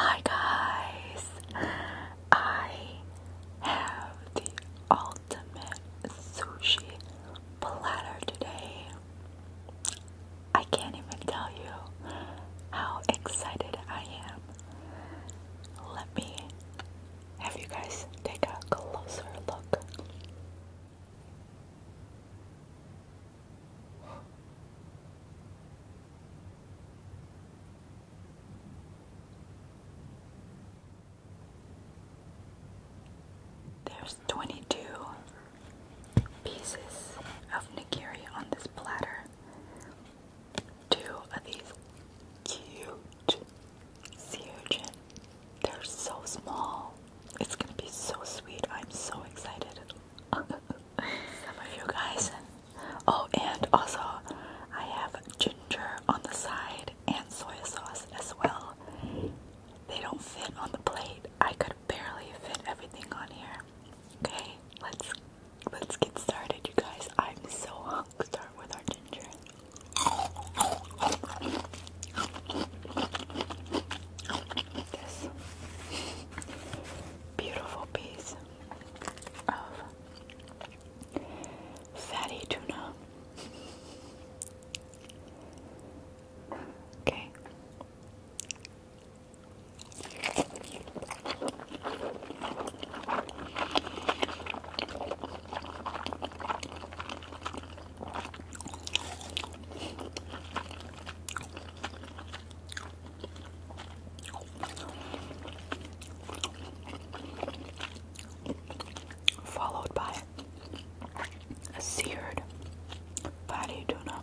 Hi guys, I have the ultimate sushi platter today. I can't even tell you how excited I am. Let me have you guys take a closer look. There's 22 pieces of nigiri on this platter. Two of these cute Sea urchin. They're so small. It's gonna be so sweet. I'm so excited. Some of you guys. Oh, and also, I have ginger on the side and soy sauce as well. They don't fit on the plate. I could barely fit everything on here. Okay, let's let's get started, you guys. I'm so hungry. Start with our ginger. This beautiful piece of fatty tuna. Okay. Followed by a seared fatty tuna.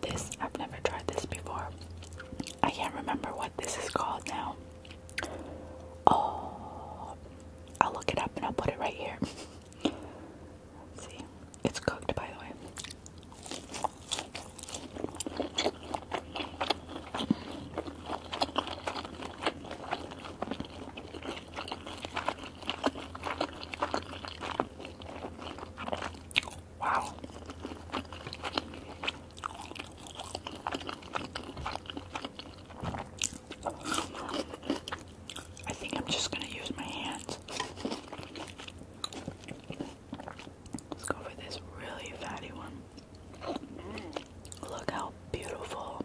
This, I've never tried this before. I can't remember what this is called now. Oh, I'll look it up and I'll put it right here. see, it's cooked by the way. Wow. I think I'm just going to use my hands. Let's go for this really fatty one. Look how beautiful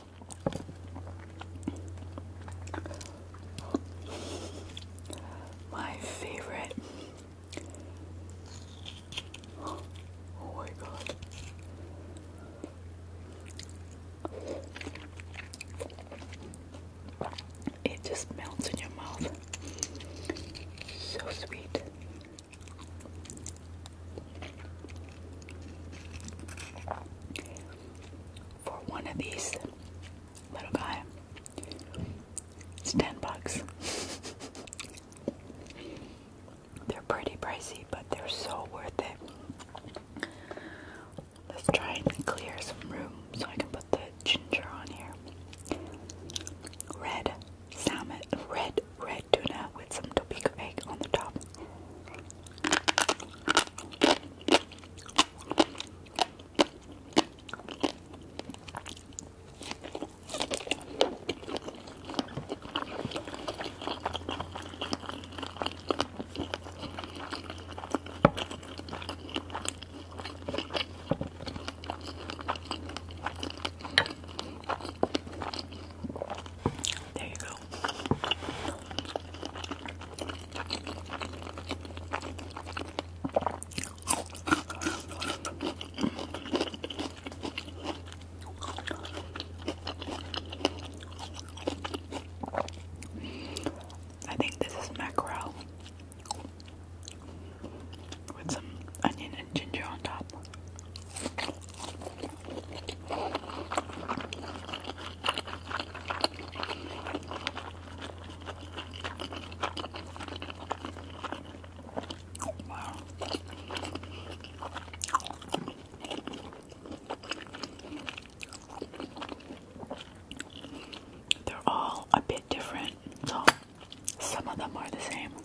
My favorite. Oh my god. It just melts in your mouth. So sweet. For one of these little guy, it's ten bucks. they're pretty pricey, but they're so worth it. Let's try and clear some room so I can put the ginger on here. Red salmon, red, red tuna with some Topeka egg on the top. There you go. I think this is mackerel with some onion and ginger on top. They're all a bit different, some of them are the same.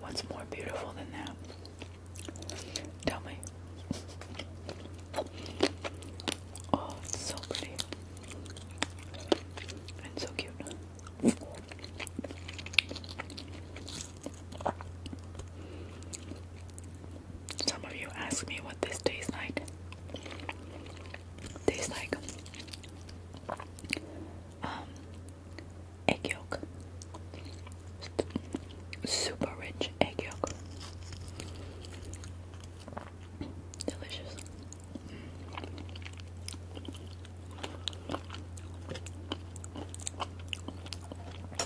What's more beautiful than that? Tell me. Oh, it's so pretty and so cute. Some of you ask me what this tastes like. Tastes like um, egg yolk, super rich egg yolk, delicious.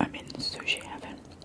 I'm in sushi heaven.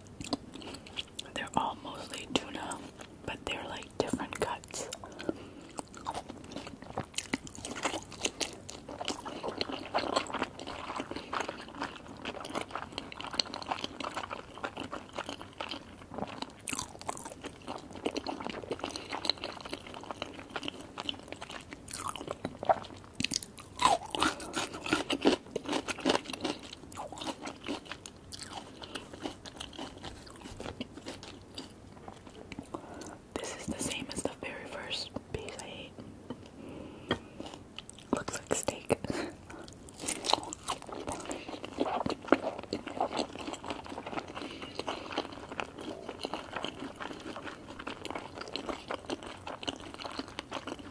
They're all mostly tuna, but they're like different cuts. This is the same as the very first piece I ate. Looks like steak.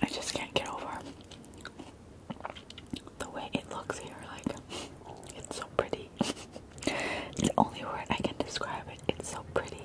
I just can't get over the way it looks here, like it's so pretty. it's the only word I can describe it. It's so pretty.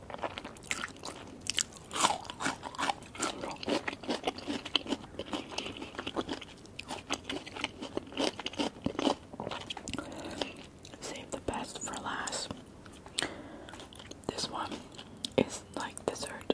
Save the best for last. This one is like dessert.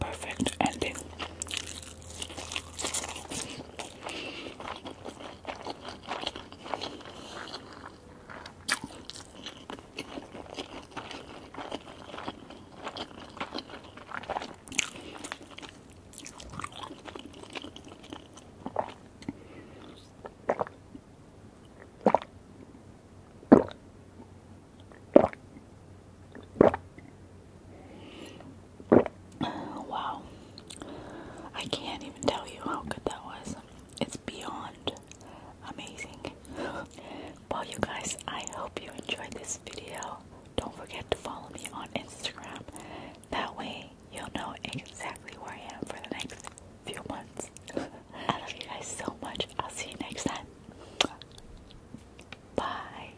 Perfect ending. Wow. I can't even tell you how good that was. It beyond amazing. well, you guys, I hope you enjoyed this video. Don't forget to follow me on Instagram. That way, you'll know exactly where I am for the next few months. I love you guys so much. I'll see you next time. Bye.